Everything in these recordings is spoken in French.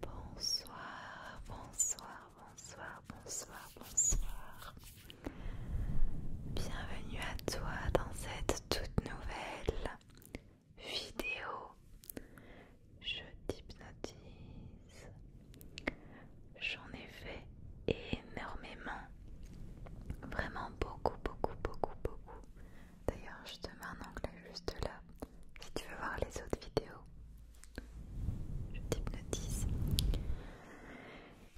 Bonsoir, bonsoir, bonsoir, bonsoir, bonsoir. Bienvenue à toi dans cette toute nouvelle vidéo je t'hypnotise. J'en ai fait énormément. Vraiment beaucoup, beaucoup, beaucoup, beaucoup. D'ailleurs, je te mets un onglet juste là si tu veux voir les autres vidéos. Je t'hypnotise.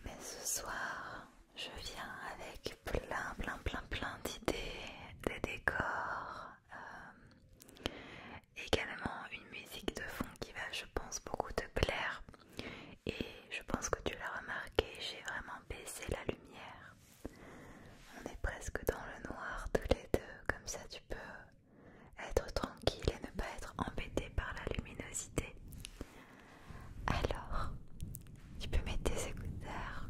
Mais ce soir, je viens avec plein, plein, plein, plein d'idées, des décors. Euh, Également une musique de fond qui va je pense beaucoup te plaire et je pense que tu l'as remarqué, j'ai vraiment baissé la lumière. On est presque dans le noir tous les deux, comme ça tu peux être tranquille et ne pas être embêté par la luminosité. Alors, tu peux mettre tes écouteurs.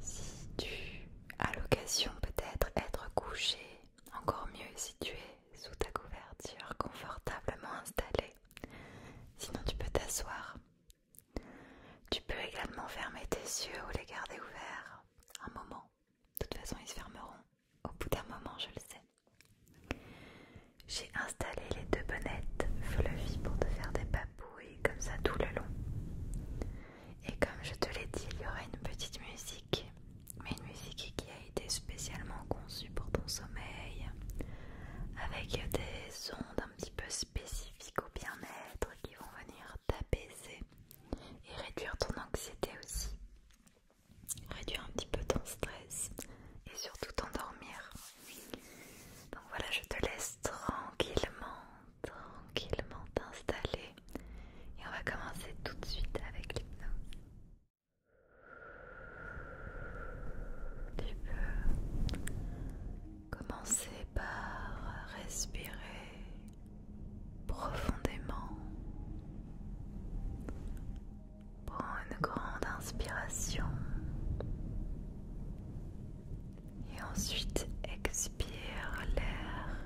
Si tu as l'occasion peut-être être couché encore mieux si tu es sous ta couverture confortablement installée. Sinon tu peux t'asseoir. Tu peux également fermer tes yeux ou les garder ouverts un moment. De toute façon ils se fermeront au bout d'un moment, je le sais. J'ai installé les deux bonnettes fluffy pour te faire des papouilles comme ça tout le long. Et comme je te l'ai dit, il y aura une petite musique, mais une musique qui a été spécialement conçue pour ton sommeil, avec des ondes un petit peu spécifiques au bien-être qui vont venir t'apaiser et réduire ton anxiété aussi, réduire un petit peu ton stress et surtout t'endormir. Donc voilà, je te laisse tranquillement, tranquillement t'installer et on va commencer tout de suite avec l'hypnose. Tu peux commencer par respirer profondément. prendre une grande inspiration et ensuite expire l'air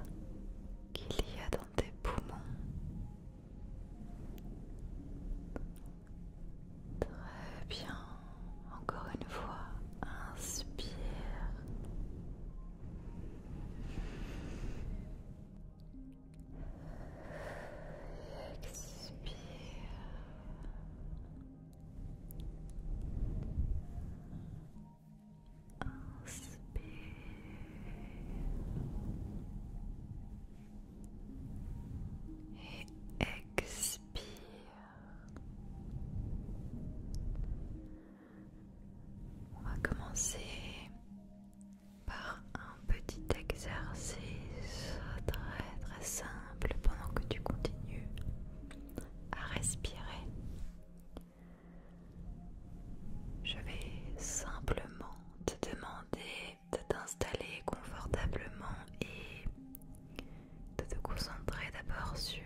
qu'il y a dans tes poumons. Très bien, encore une fois, inspire. Expire. Inspire et expire. On va commencer par un petit exercice très très simple pendant que tu continues à respirer. Je vais simplement te demander de t'installer confortablement et de te concentrer d'abord sur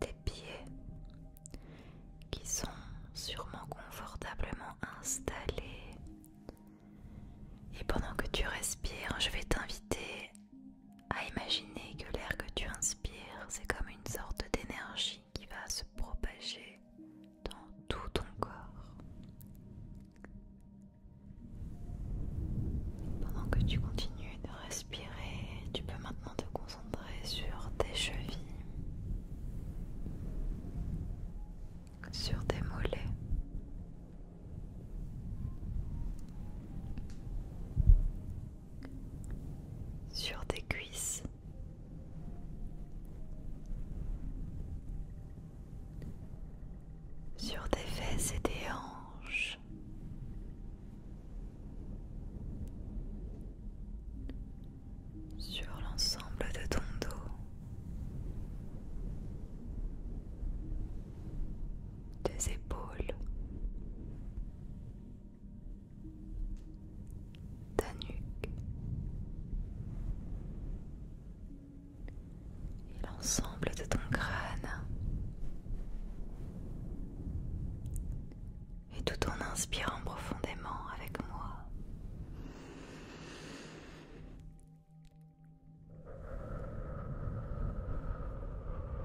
tes pieds qui sont sûrement confortablement installés. Et pendant que tu respires, je vais t'inviter à imaginer que l'air que tu inspires, c'est comme une sorte d'énergie qui va se propager dans tout ton corps. Pendant que tu continues de respirer, tu peux maintenant te concentrer sur tes chevilles, sur tes mollets sur tes cuisses. Sur tes fesses et tes hanches, sur l'ensemble de ton dos, tes épaules, ta nuque et l'ensemble de ton crâne. Et tout en inspirant profondément avec moi.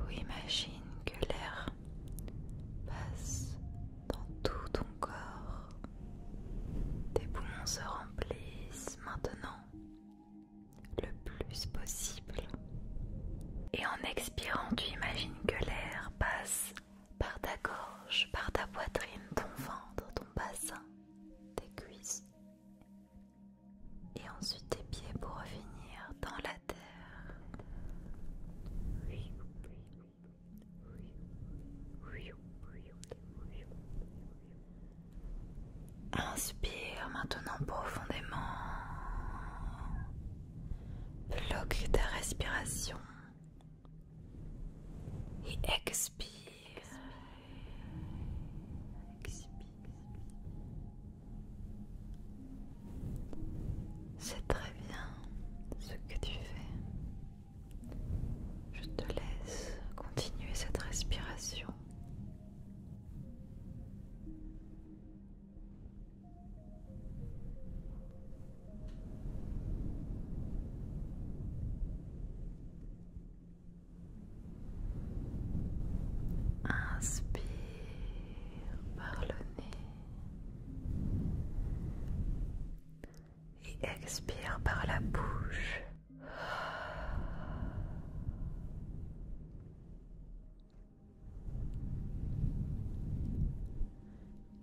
Ou imagine que l'air passe dans tout ton corps. Tes poumons se remplissent maintenant le plus possible. Et en expirant, tu imagines que l'air passe par ta gorge, par ta poitrine, ton ventre, ton bassin, tes cuisses. Et ensuite tes pieds pour revenir dans la Inspire maintenant profondément. Bloque de respiration. Et expire. C'est très bien ce que tu fais. Je te laisse continuer cette respiration. Inspire par le nez et expire par la bouche.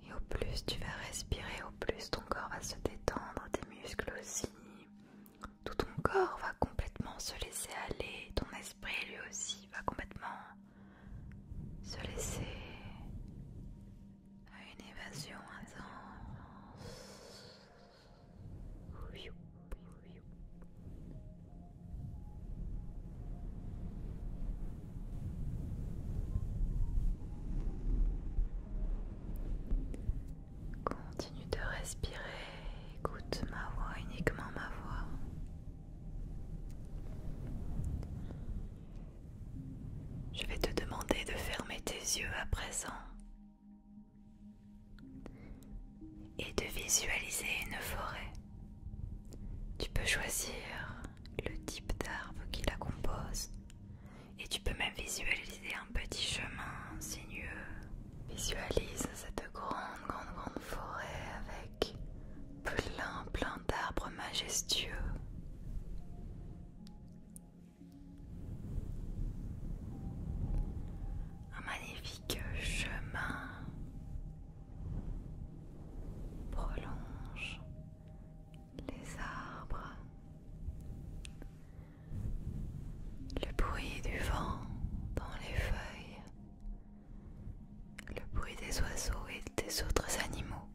Et au plus tu vas respirer, au plus ton corps va se détendre, tes muscles aussi. Tout ton corps va complètement se laisser aller, ton esprit lui aussi va complètement se laisser à une évasion intense. Continue de respirer, écoute ma voix, uniquement ma voix. Je vais te demander de fermer tes yeux à présent et de visualiser une forêt. Tu peux choisir le type d'arbre qui la compose et tu peux même visualiser un petit chemin sinueux. Visualise cette grande, grande, grande forêt avec plein plein d'arbres majestueux. Un magnifique chemin prolonge les arbres. Le bruit du vent dans les feuilles le bruit des oiseaux et des autres animaux.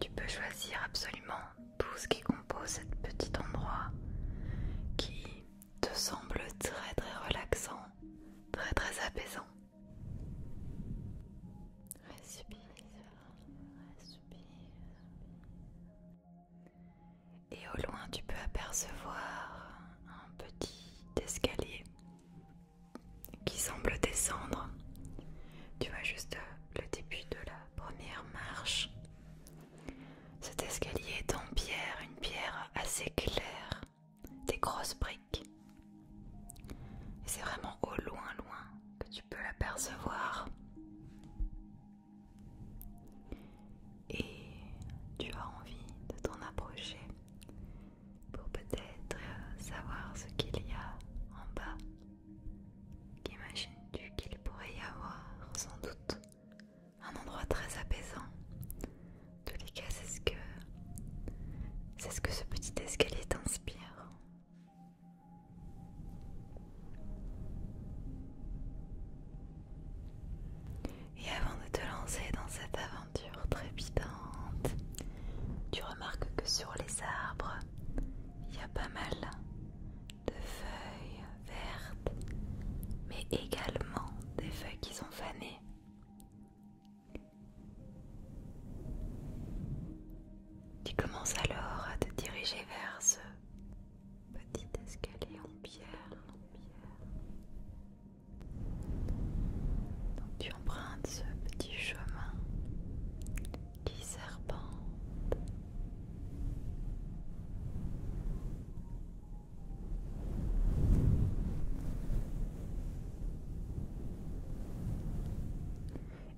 Tu peux choisir absolument tout ce qui compose cet petit endroit qui te semble très très relaxant, très très apaisant. Respire, et au loin tu peux apercevoir un petit escalier qui semble descendre. Tu vois juste le début de la première marche. Cet escalier est en pierre, une pierre assez claire, des grosses briques. Et c'est vraiment au loin, loin que tu peux l'apercevoir et tu as envie de t'en approcher pour peut-être euh, savoir ce qu'il y a en bas. Qu'imagines-tu qu'il pourrait y avoir sans doute un endroit très apaisant En tous les cas, c'est ce que c'est ce que ce petit escalier t'inspire. Et avant de te lancer dans cette aventure trépidante, tu remarques que sur les arbres, il y a pas mal de feuilles vertes, mais également des feuilles qui sont fanées. Tu commences alors à te diriger vers ce petit escalier en pierre, en pierre tu empruntes ce petit chemin qui serpente.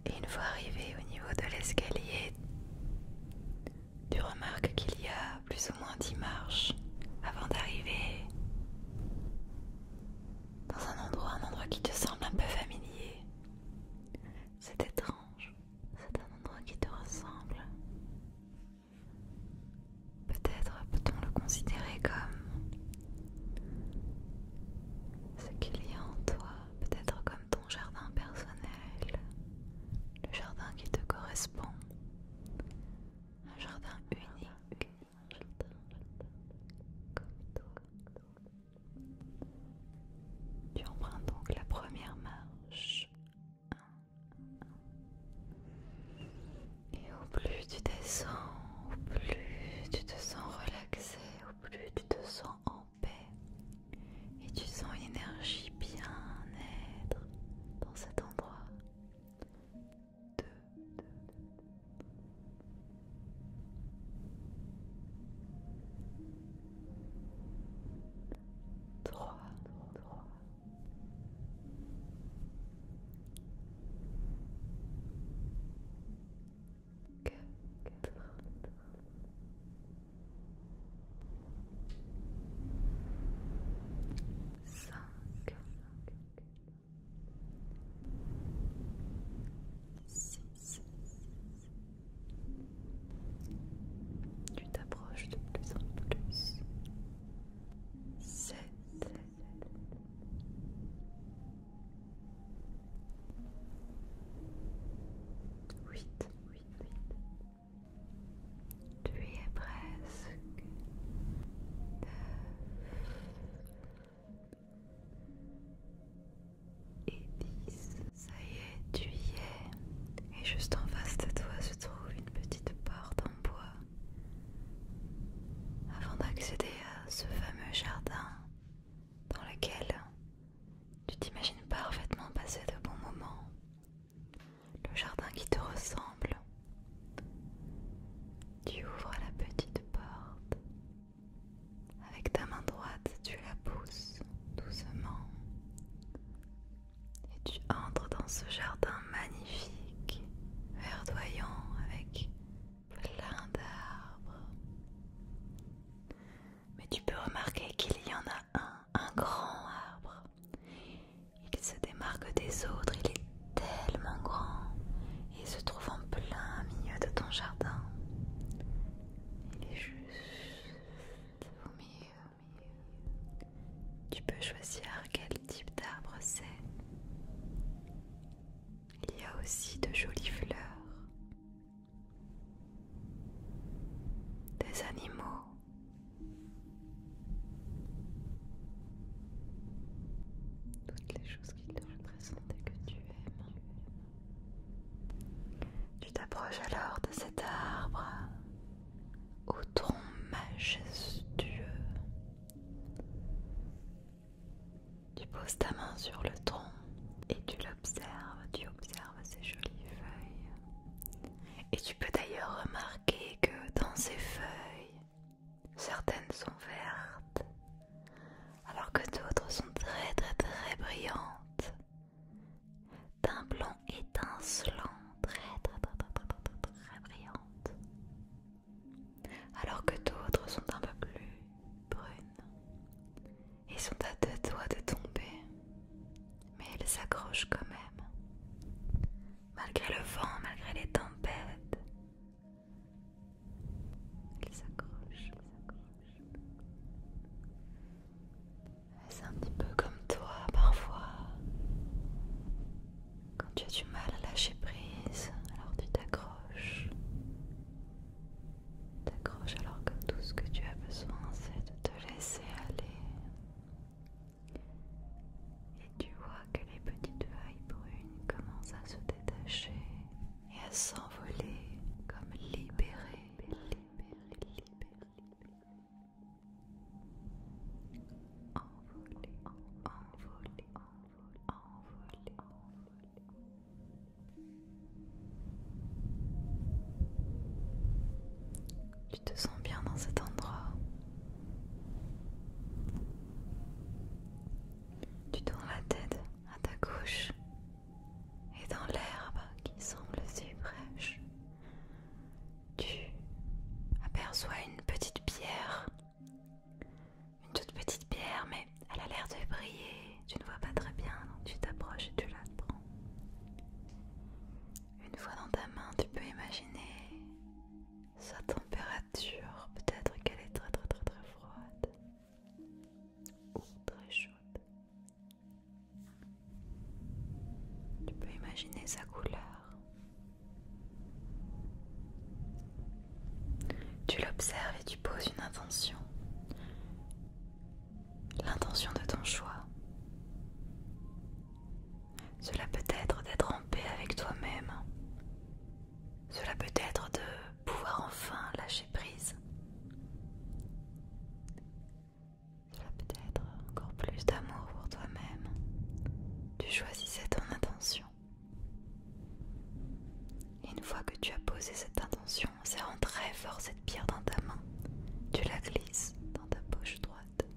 Et une fois arrivé au niveau de l'escalier, tu remarques qu'il y a plus ou moins dix marches avant d'arriver dans un endroit, un endroit qui te semble un peu familier. C'est étrange, c'est un endroit qui te ressemble. Peut-être peut-on le considérer comme ce qu'il y a en toi, peut-être comme ton jardin personnel, le jardin qui te correspond, un jardin unique, Tu empruntes donc la première marche. Et au plus tu descends, au plus tu te sens relaxé, au plus tu te sens en paix. Et tu sens une énergie bien-être dans cet endroit deux, trois, trois, 5 6 Tu t'approches de plus en plus 7 8 8 8 tu y es presque. et 10 Ça y est, tu y es. Et juste en face de toi se trouve une petite porte en bois. Avant d'accéder à ce fameux jardin dans lequel tu t'imagines parfaitement passer de bons moments, le jardin qui te ressemble. Tu ouvres la petite porte. Avec ta main droite, tu la pousses doucement et tu entres dans ce jardin magnifique, verdoyant avec plein d'arbres. Mais tu peux remarquer qu'il y en a un, un grand arbre il se démarque des autres, il est tellement grand et se trouve en plein milieu de ton jardin. Il est juste au Tu peux choisir quel type d'arbre c'est. Il y a aussi de jolies fleurs, des animaux toutes les choses qui te représentent et que tu aimes. Tu t'approches alors de cet arbre au tronc majestueux. Tu poses ta main sur le tronc et tu l'observes, tu observes ses jolies feuilles. Et tu peux d'ailleurs remarquer que dans ces feuilles, certaines sont vertes, alors que d'autres sont très très très brillantes, d'un blanc étincelant, très très très très très, alors que d'autres sont un peu plus brunes et sont à deux doigts de tomber mais elle s'accroche quand même. Malgré le vent, malgré les tempêtes, elle s'accroche. C'est un petit peu comme toi parfois. Quand tu as du mal à lâcher prise, alors tu t'accroches. T'accroches alors que tout ce que tu as besoin, c'est de te laisser aller. Et tu vois que les petites vailles brunes commencent à se détacher et à s'envoler comme libérées. Libérées, libérées. Envoler, envoler, envoler, envoler, envoler. Tu te sens bien dans cet endroit. Tu tournes la tête à ta gauche et dans l'herbe qui semble si fraîche, tu aperçois une petite pierre. Une toute petite pierre, mais elle a l'air de briller. Tu ne vois pas très bien, donc tu t'approches et tu la prends. Une fois dans ta main, tu peux imaginer sa température. Peut-être qu'elle est très très très très froide ou très chaude. Tu peux imaginer sa couleur. Tu l'observes et tu poses une intention l'intention de ton choix. Cela peut être d'être en paix avec toi-même. Cela peut être de pouvoir enfin lâcher prise. Cela peut être encore plus d'amour pour toi-même. Tu choisissais ton intention. une fois que tu as posé cette intention, serrant très fort cette pierre dans ta main, tu la glisses dans ta poche droite.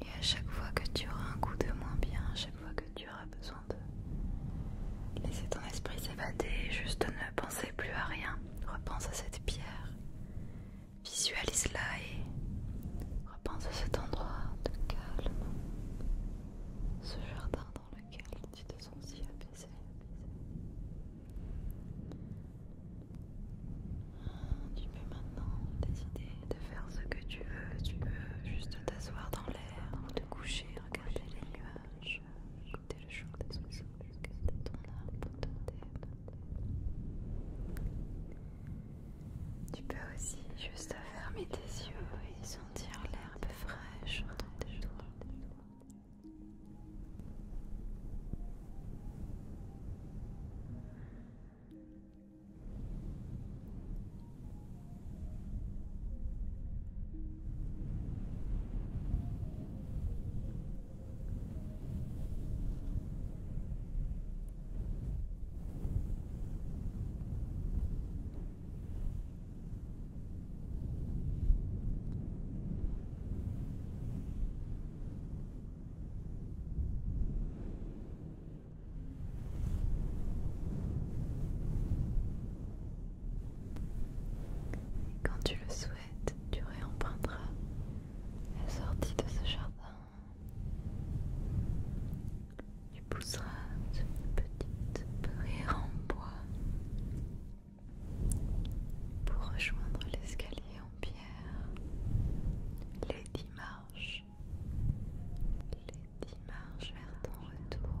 Et à chaque fois que tu auras un coup de moins bien, à chaque fois que tu auras besoin de laisser ton esprit s'évader, juste ne penser plus à rien, repense à cette pierre, visualise-la et repense à cet endroit de calme ce jardin dans lequel tu te sens si apaisé. Tu peux maintenant décider de faire ce que tu veux. Tu peux juste t'asseoir dans l'air ou te coucher, regarder les nuages, écouter le chant des oiseaux, jusqu'à ton arbre, te thème. Tu peux aussi juste fermer tes yeux et sentir l'herbe fraîche autour de toi quand tu le souhaites, tu réemprunteras la sortie de ce jardin tu pousseras cette petite pierre en bois pour rejoindre l'escalier en pierre. Les dix marches. Les dix marches vers ton retour.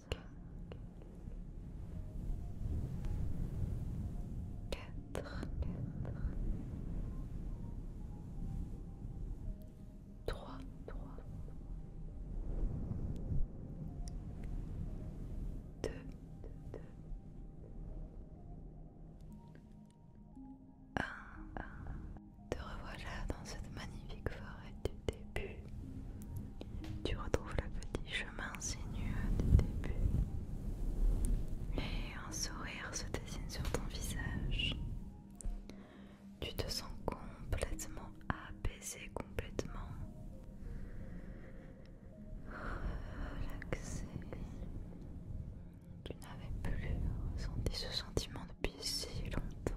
quatre, trois, deux, deux, un, Te là dans cette magnifique forêt début. Tu retrouves le petit chemin sinueux du début. Et un sourire se dessine sur ton visage. Tu te sens complètement apaisé, complètement relaxé. Tu n'avais plus ressenti ce sentiment depuis si longtemps.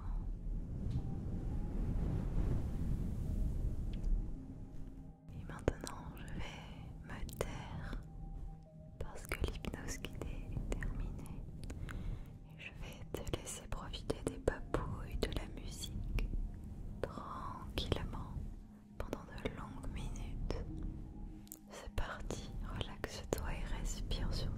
Et maintenant, je vais me taire parce que l'hypnose est terminée. Et je vais te laisser profiter des papouilles, de la musique, tranquillement, pendant de longues minutes. C'est parti, relaxe-toi et respire surtout.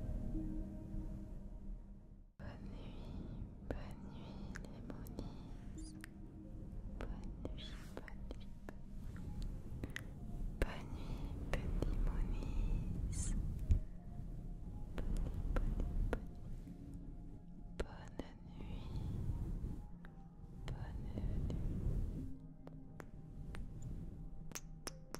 Bonne nuit, bonne nuit Bonne nuit, bonne nuit. Bonne nuit, Bonne, bonne, bonne nuit. Bonne nuit.